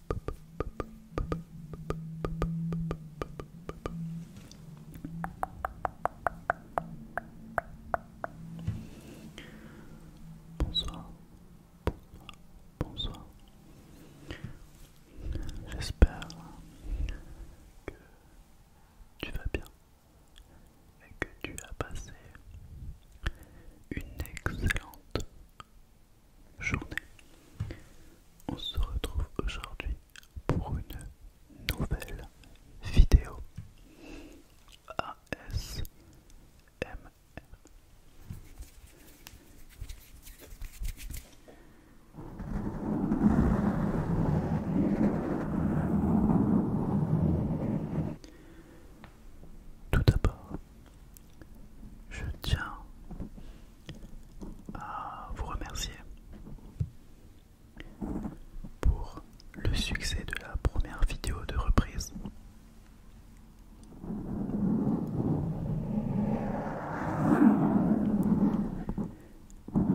Bonsoir, bonsoir, bonsoir. J'espère que tu vas bien et que tu as passé une excellente journée. On se retrouve aujourd'hui pour une nouvelle vidéo ASMR. Tout d'abord, je tiens à vous remercier pour le succès de la première vidéo de reprise.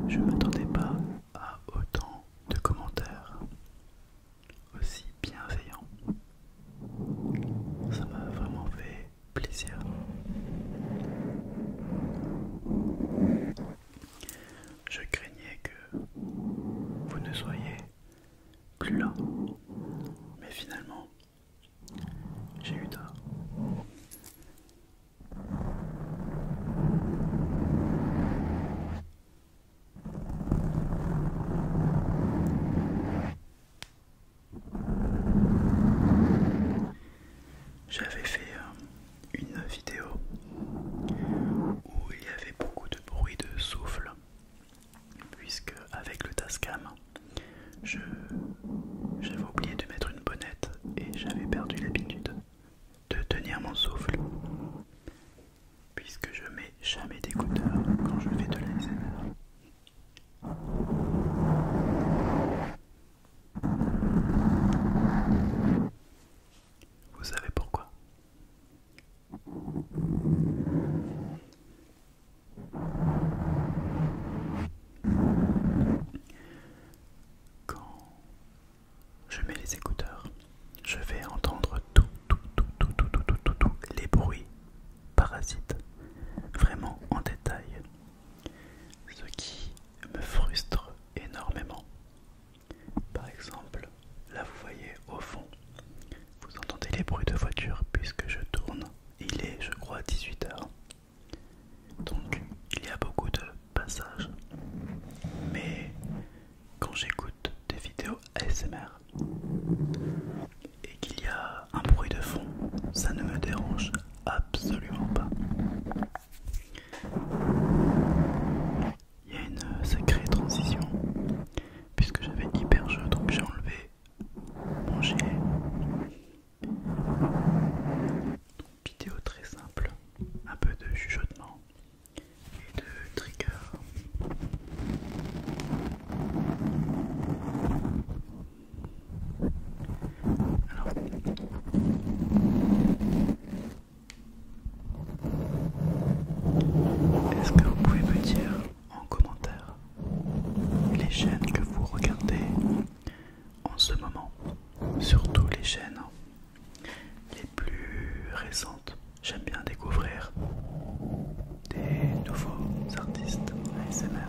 Je ne m'attendais pas à autant de commentaires aussi bienveillants. Ça m'a vraiment fait plaisir. Je craignais que vous ne soyez plus là, mais finalement, j'ai eu tort. J'avais fait euh, une vidéo où il y avait beaucoup de bruit de souffle puisque avec le Tascam j'avais oublié de mettre une bonnette et j'avais perdu l'habitude de tenir mon souffle puisque je mets jamais d'écouteurs quand je fais de l'ASMR. Vous savez pourquoi Quand je mets les écouteurs, je vais entendre tout, tout, tout, tout, tout, tout, tout, tout, les bruits parasites, vraiment en détail ce qui me frustre énormément. Par exemple, là vous voyez au fond, vous entendez les bruits de voiture puisque je tourne. Il est je crois 18h. Donc il y a beaucoup de passages. Mais quand j'écoute des vidéos ASMR et qu'il y a un bruit de fond, ça ne me dérange absolument pas. Il y a une sacrée transition puisque j'avais hyper jeu donc j'ai enlevé mon Donc, vidéo très simple, un peu de chuchotement et de trigger. Alors, est-ce que vous pouvez me dire en commentaire les chaînes que vous regardez en ce moment, surtout les chaînes les plus récentes J'aime bien découvrir des nouveaux artistes ASMR.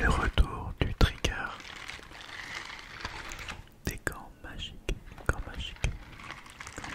Le retour du trigger. Des gants magiques, gants magiques, gants magiques.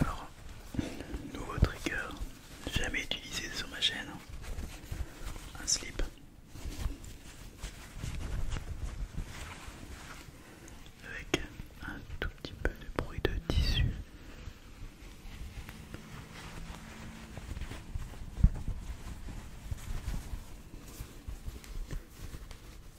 Alors, nouveau trigger, jamais utilisé sur ma chaîne, hein. un slip. Avec un tout petit peu de bruit de tissu.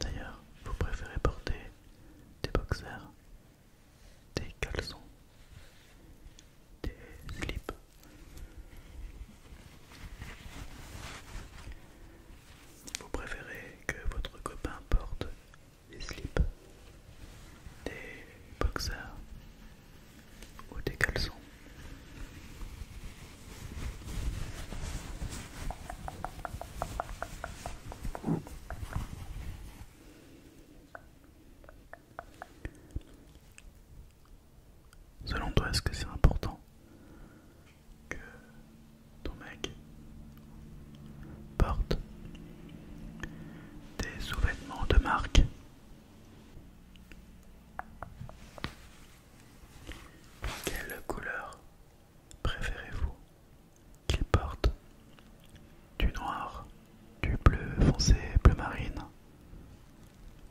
D'ailleurs, vous préférez porter des boxers, des caleçons, des slips. Vous préférez que votre copain porte des slips, des boxers ou des caleçons. Selon toi, est-ce que c'est important que ton mec Porte. Des sous-vêtements de marque. Quelle couleur préférez-vous qu'il porte Du noir, du bleu foncé, bleu marine,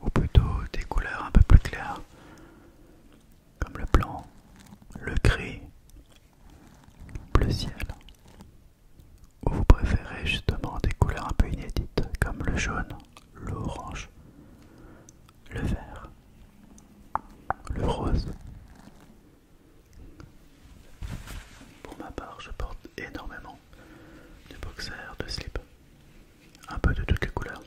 ou plutôt des couleurs un peu plus claires, comme le blanc, le gris, bleu ciel ou vous préférez justement des couleurs un peu inédites comme le jaune, l'orange, le vert, le rose. Pour ma part, je porte énormément de boxers, de slip, un peu de toutes les couleurs.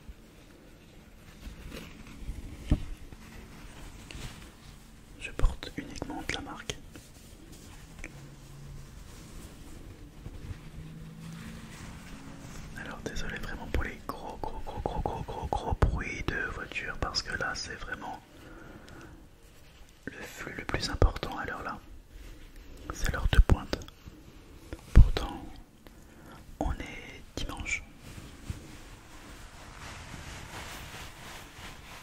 Je porte uniquement de la marque. Alors désolé vraiment pour les gros gros gros gros gros gros bruits de voiture parce que là c'est vraiment le flux le plus important à l'heure là. C'est l'heure de pointe. Pourtant on est dimanche.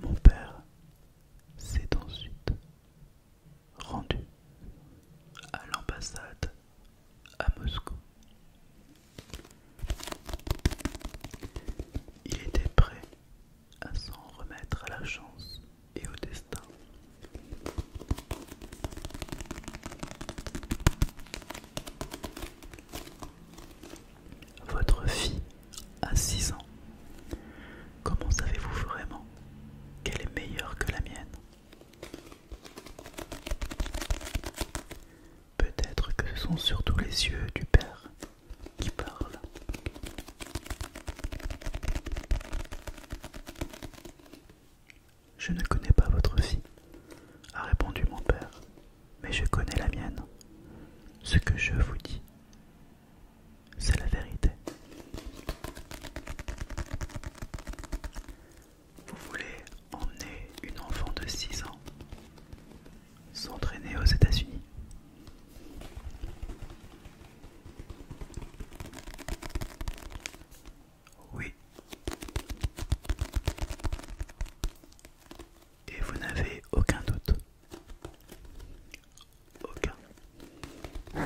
Mon père s'est ensuite rendu à l'ambassade à Moscou. Il était prêt à s'en remettre à la chance et au destin. Votre fille a 6 ans. Comment savez-vous vraiment qu'elle est meilleure que la mienne Peut-être que ce sont surtout les yeux du père qui parlent, je ne connais pas votre fille, a répondu mon père, mais je connais la mienne. Ce que je vous dis, c'est la vérité. Vous voulez emmener une enfant de 6 ans s'entraîner aux États-Unis oui. Et vous n'avez aucun doute. Aucun. Un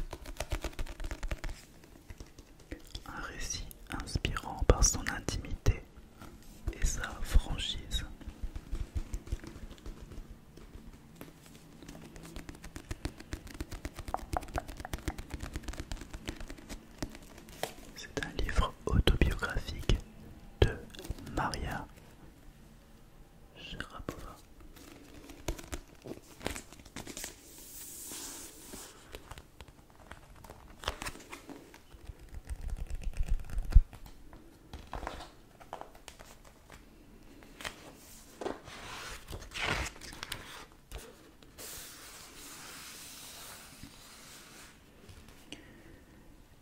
récit inspirant par son intimité et sa franchise. C'est un livre autobiographique de Maria Sharapova.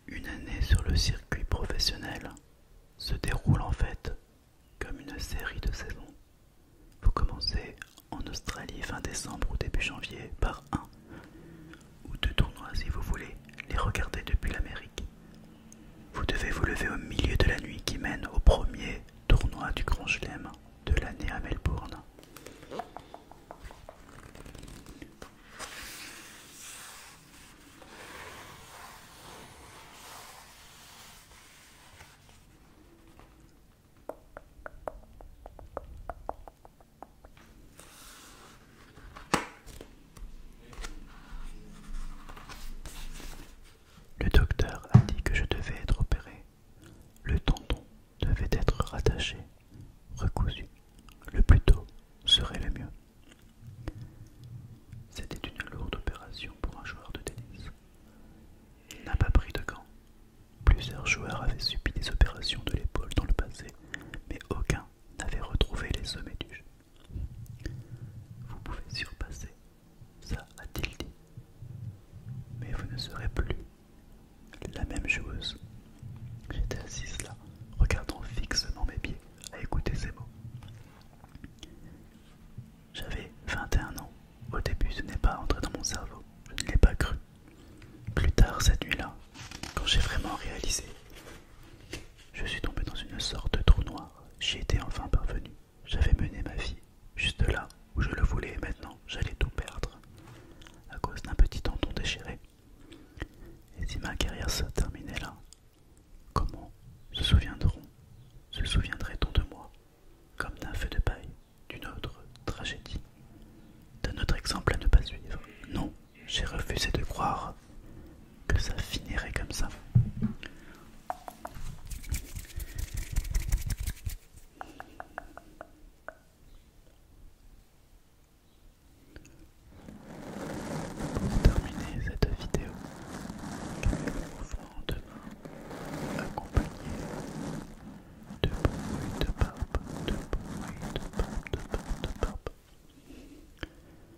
Une année sur le circuit professionnel se déroule en fait comme une série de saisons. Vous commencez en Australie fin décembre ou début janvier par un ou deux tournois si vous voulez les regarder depuis l'Amérique. Vous devez vous lever au milieu de la nuit qui mène au premier tournoi du Grand Chelem de l'année à Melbourne. Le docteur a dit que je devais être opéré. Le tendon devait être rattaché, recousu. Le plus tôt serait le mieux. C'était une lourde opération pour un joueur de tennis. Il n'a pas pris de gants. Plusieurs joueurs avaient subi des opérations de l'épaule dans le passé, mais aucun n'avait retrouvé les sommets du jeu. Vous pouvez surpasser ça, a-t-il dit. Mais vous ne serez plus la même joueuse. J'étais assise là, regardant fixement mes pieds, à écouter ces mots. J'avais 21 ans. Au début, ce n'est pas entré dans mon cerveau. Je ne l'ai pas cru. Plus tard, cette nuit-là, quand j'ai vraiment réalisé, je suis tombée dans une sorte de trou noir. J'y étais enfin parvenu. J'avais mené ma vie, juste là où je le voulais, et maintenant j'allais tout perdre, à cause d'un petit tendon déchiré. Et si ma carrière se terminait là, comment se souviendront, se souviendrait-on de moi, comme d'un feu de paille, d'une autre tragédie, d'un autre exemple à ne pas suivre Non, j'ai refusé de croire, que ça finirait comme ça. Pour terminer cette vidéo, quelques mouvements de demain accompagnés de bruits de barbe, de bruit de barbe, de barbe, de barbe.